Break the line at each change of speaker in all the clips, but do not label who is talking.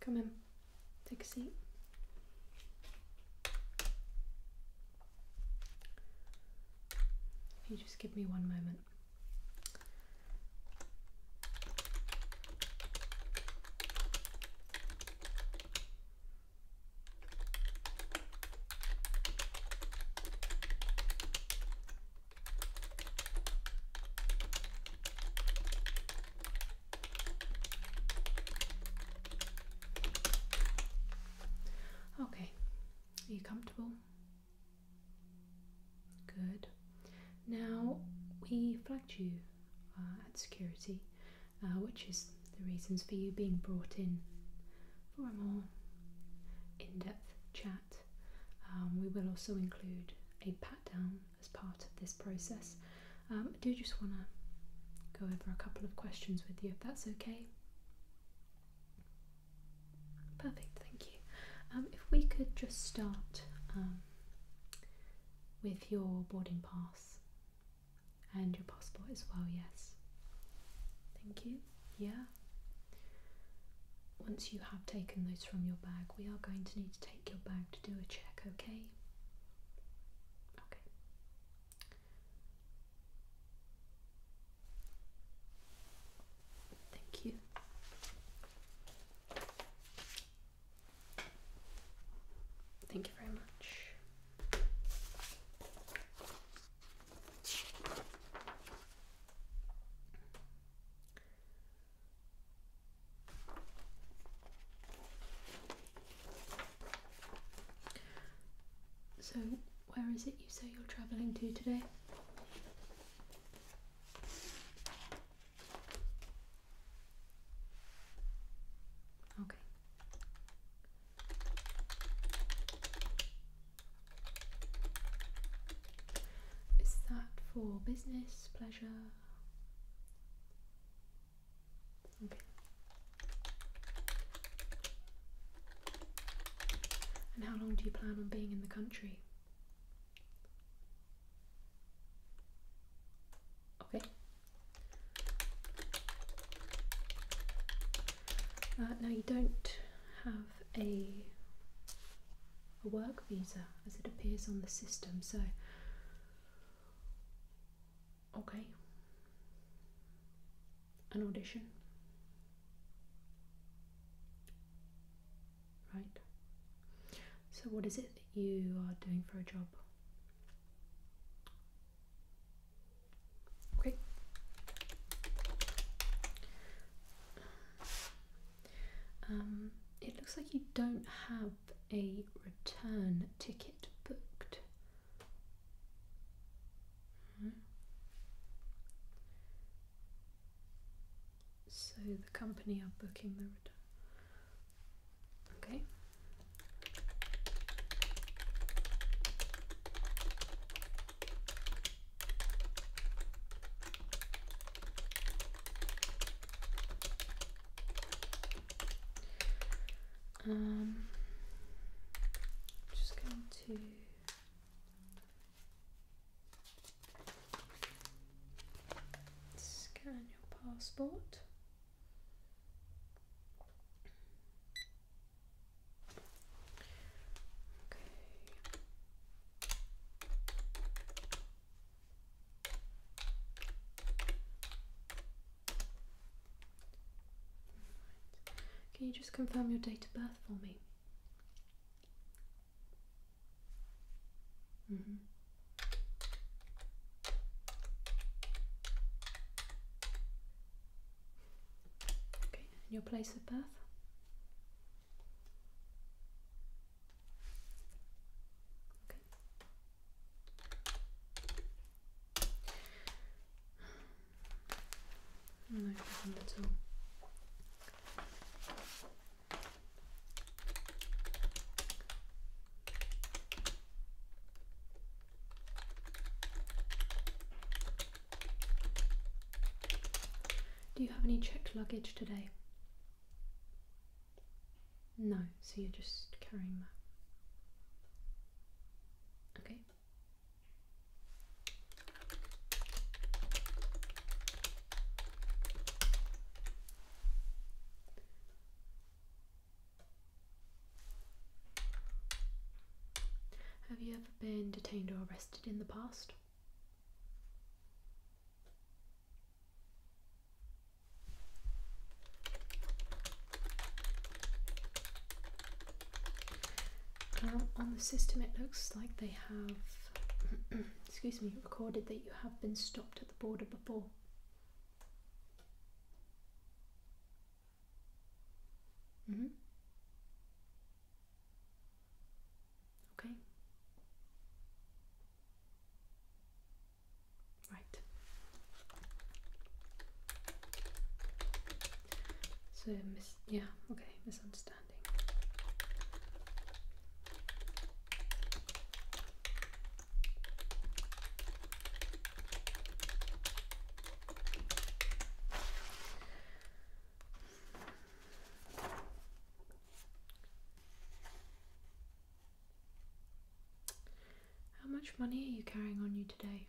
Come in. Take a seat. If you just give me one moment. Okay, are you comfortable? Good. Now we flagged you uh, at security, uh, which is the reasons for you being brought in for a more in depth chat. Um, we will also include a pat down as part of this process um, I do just want to go over a couple of questions with you if that's okay. Perfect, thank you. Um, if we could just start um, with your boarding pass and your passport as well, yes. Thank you. Yeah. Once you have taken those from your bag, we are going to need to take your bag to do a check, okay? Okay. Thank you. Thank you very much. So, where is it you say you're travelling to today? Okay. Is that for business, pleasure? Okay. And how long do you plan on being in the country? Okay. Uh, now you don't have a a work visa as it appears on the system, so Okay. An audition. Right. So, what is it that you are doing for a job? Okay. Um, it looks like you don't have a return ticket booked. So the company are booking the return. Okay. Um, just going to scan your passport. Okay. Can you just confirm your date of birth for me? Mm -hmm. Okay, and your place of birth? Okay. Do you have any checked luggage today? No, so you're just carrying that. Okay. Have you ever been detained or arrested in the past? on the system, it looks like they have, excuse me, recorded that you have been stopped at the border before. Mm -hmm. Okay. Right. So, mis yeah, okay, misunderstanding. How much money are you carrying on you today?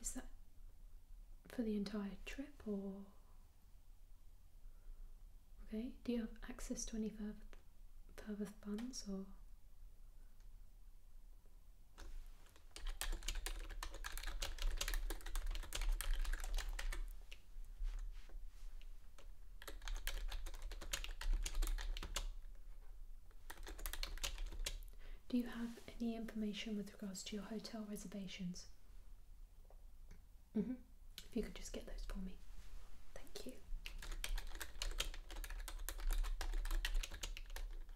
Is that for the entire trip or? Okay, do you have access to any further, funds or? Do you have any information with regards to your hotel reservations? Mm -hmm. If you could just get those for me. Thank you.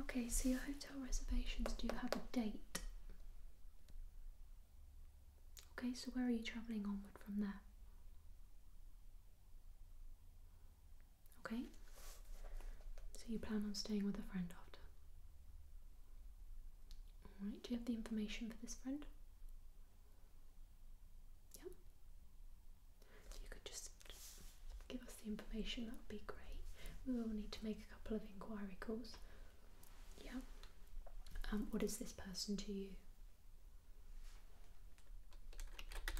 Okay, so your hotel reservations, do you have a date? Okay, so where are you travelling onward from there? Okay, so you plan on staying with a friend after? Alright, do you have the information for this friend? Yeah. If you could just give us the information, that would be great. We will need to make a couple of inquiry calls. Yeah. Um, what is this person to you? Okay.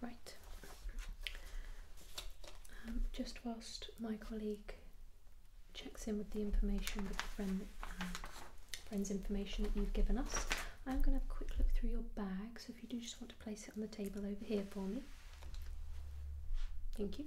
Right. Um, just whilst my colleague checks in with the information, with the friend, um, friend's information that you've given us, I'm going to have a quick look through your bag. So if you do just want to place it on the table over here for me. Thank you.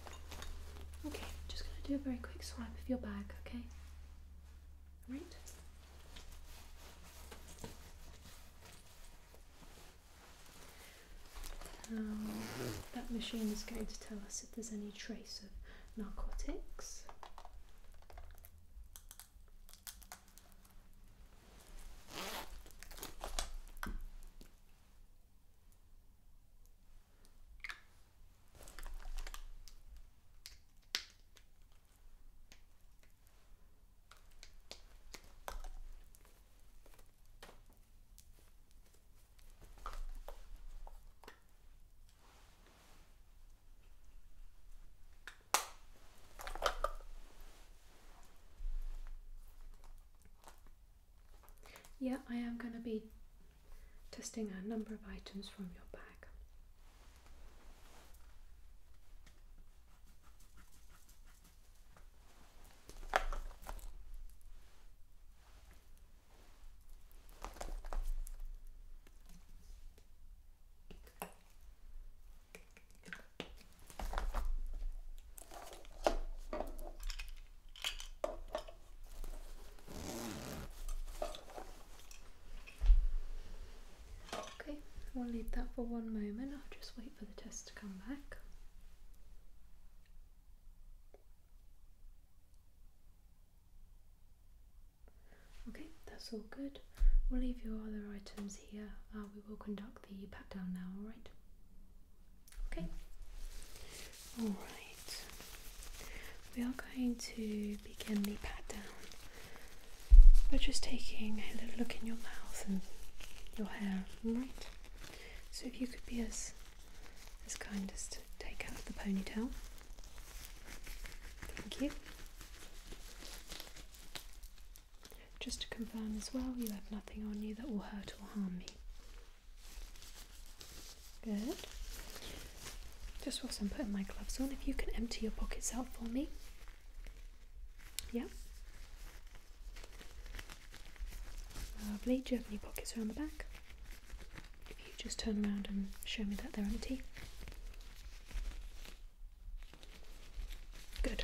Okay, just going to do a very quick swipe of your bag, okay? Alright? that machine is going to tell us if there's any trace of narcotics. Yeah, I am going to be testing a number of items from your bag. Okay, we'll leave that for one moment. I'll just wait for the test to come back. Okay, that's all good. We'll leave your other items here. Uh, we will conduct the pat down now, alright? Okay. Alright, we are going to begin the pat down by just taking a little look in your mouth and your hair, alright? So if you could be as, as kind as to take out the ponytail. Thank you. Just to confirm as well, you have nothing on you that will hurt or harm me. Good. Just whilst I'm putting my gloves on, if you can empty your pockets out for me. Yeah. Lovely. Do you have any pockets around the back? If you just turn around and show me that they're empty. Good.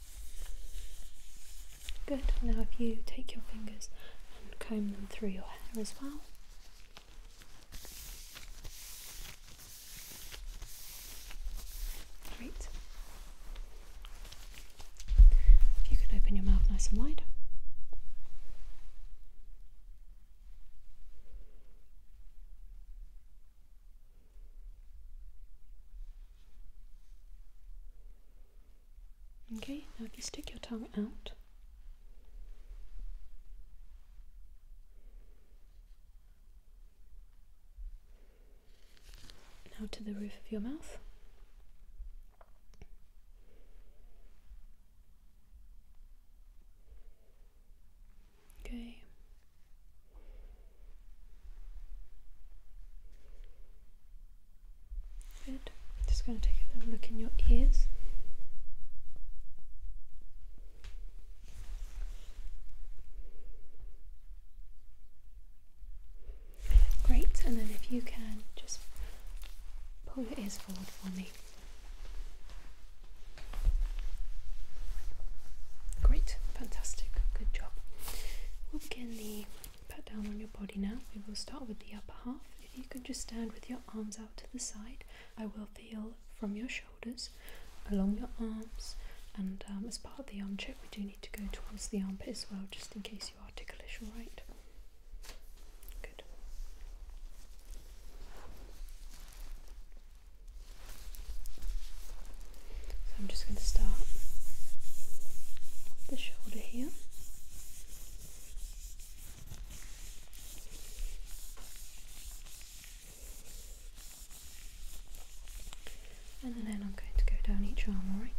Good. Now, if you take your fingers and comb them through your hair as well. Great. If you can open your mouth nice and wide. Okay, now if you stick your tongue out. Now to the roof of your mouth. Okay. Just going to take a little look in your ears. Great, and then if you can just pull your ears forward for me. Great, fantastic, good job. we the Pat down on your body now. We will start with the upper half. If you can just stand with your arms out to the side, I will feel from your shoulders along your arms. And um, as part of the arm check, we do need to go towards the armpit as well, just in case you are ticklish, alright? Good. So I'm just going to start the shoulder here. And then I'm going to go down each arm, alright?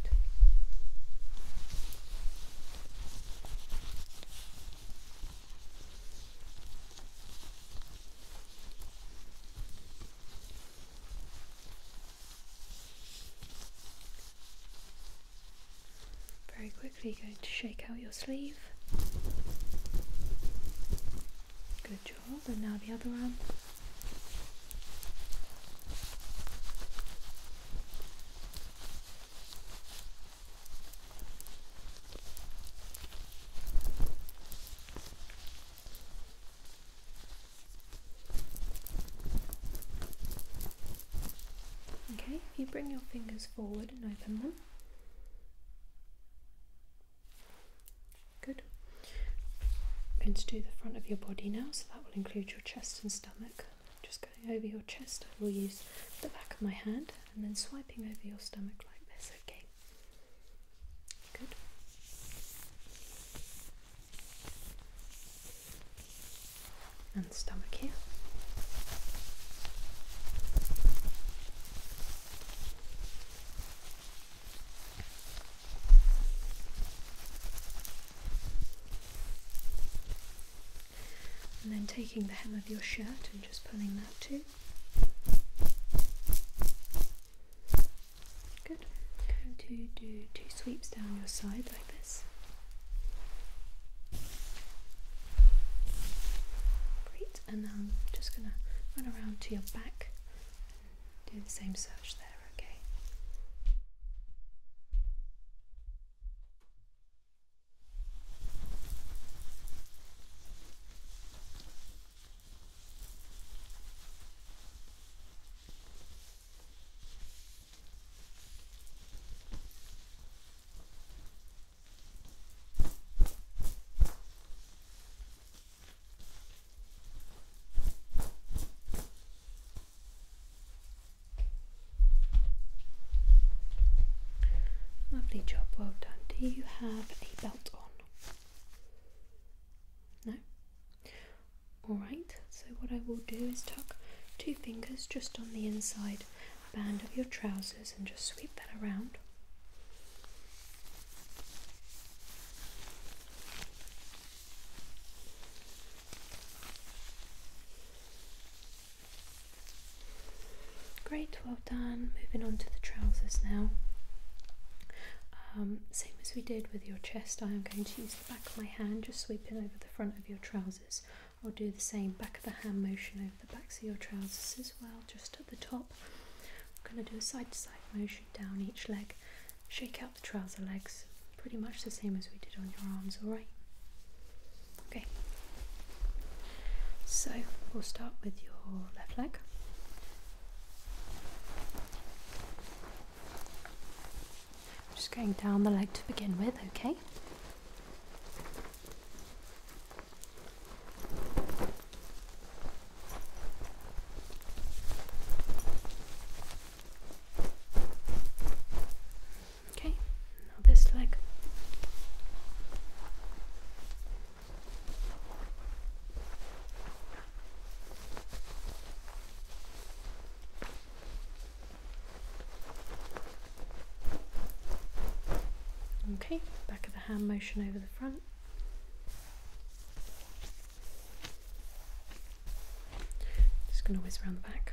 Very quickly going to shake out your sleeve. Good job, and now the other arm. Okay, if you bring your fingers forward and open them. Good. I'm going to do the front of your body now, so that will include your chest and stomach. Just going over your chest, I will use the back of my hand and then swiping over your stomach like this, okay? Good and stomach here. And then taking the hem of your shirt and just pulling that too. Good. to do two sweeps down your side like this. Great. And now I'm just going to run around to your back and do the same search there, okay? Lovely job, well done. Do you have a belt on? No? Alright, so what I will do is tuck two fingers just on the inside band of your trousers and just sweep that around. Great, well done. Moving on to the trousers now. Um, same as we did with your chest, I am going to use back of my hand, just sweeping over the front of your trousers. I'll do the same back of the hand motion over the backs of your trousers as well, just at the top. I'm going to do a side to side motion down each leg, shake out the trouser legs, pretty much the same as we did on your arms, alright? Okay, so we'll start with your left leg. I'm just going down the leg to begin with, okay? Okay, now this leg. Okay, back of the hand motion over the front. Just going to whiz around the back.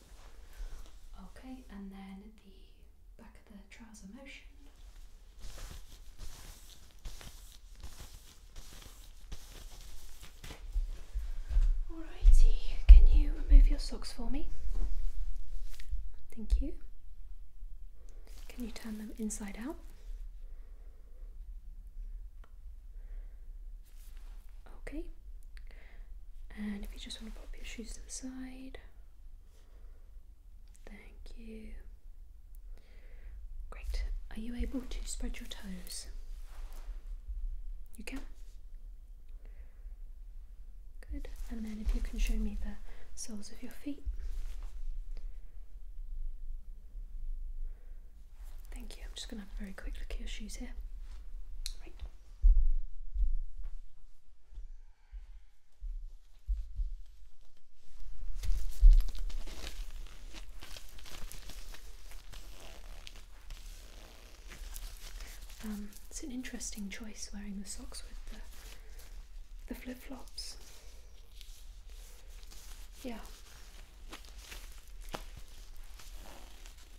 Okay, and then the back of the trouser motion. Alrighty, can you remove your socks for me? Thank you. Can you turn them inside out? Okay, and if you just want to pop your shoes inside, thank you. Great. Are you able to spread your toes? You can. Good. And then if you can show me the soles of your feet. Thank you. I'm just going to have a very quick look at your shoes here. Right. Um, it's an interesting choice wearing the socks with the, the flip flops. Yeah.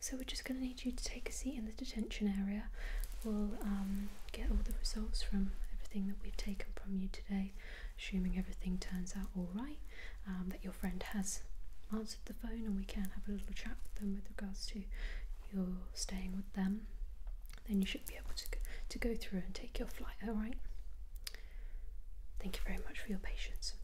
So we're just going to need you to take a seat in the detention area. We'll um, get all the results from everything that we've taken from you today, assuming everything turns out all right, um, that your friend has answered the phone and we can have a little chat with them with regards to your staying with them. Then you should be able to to go through and take your flight, all right? Thank you very much for your patience.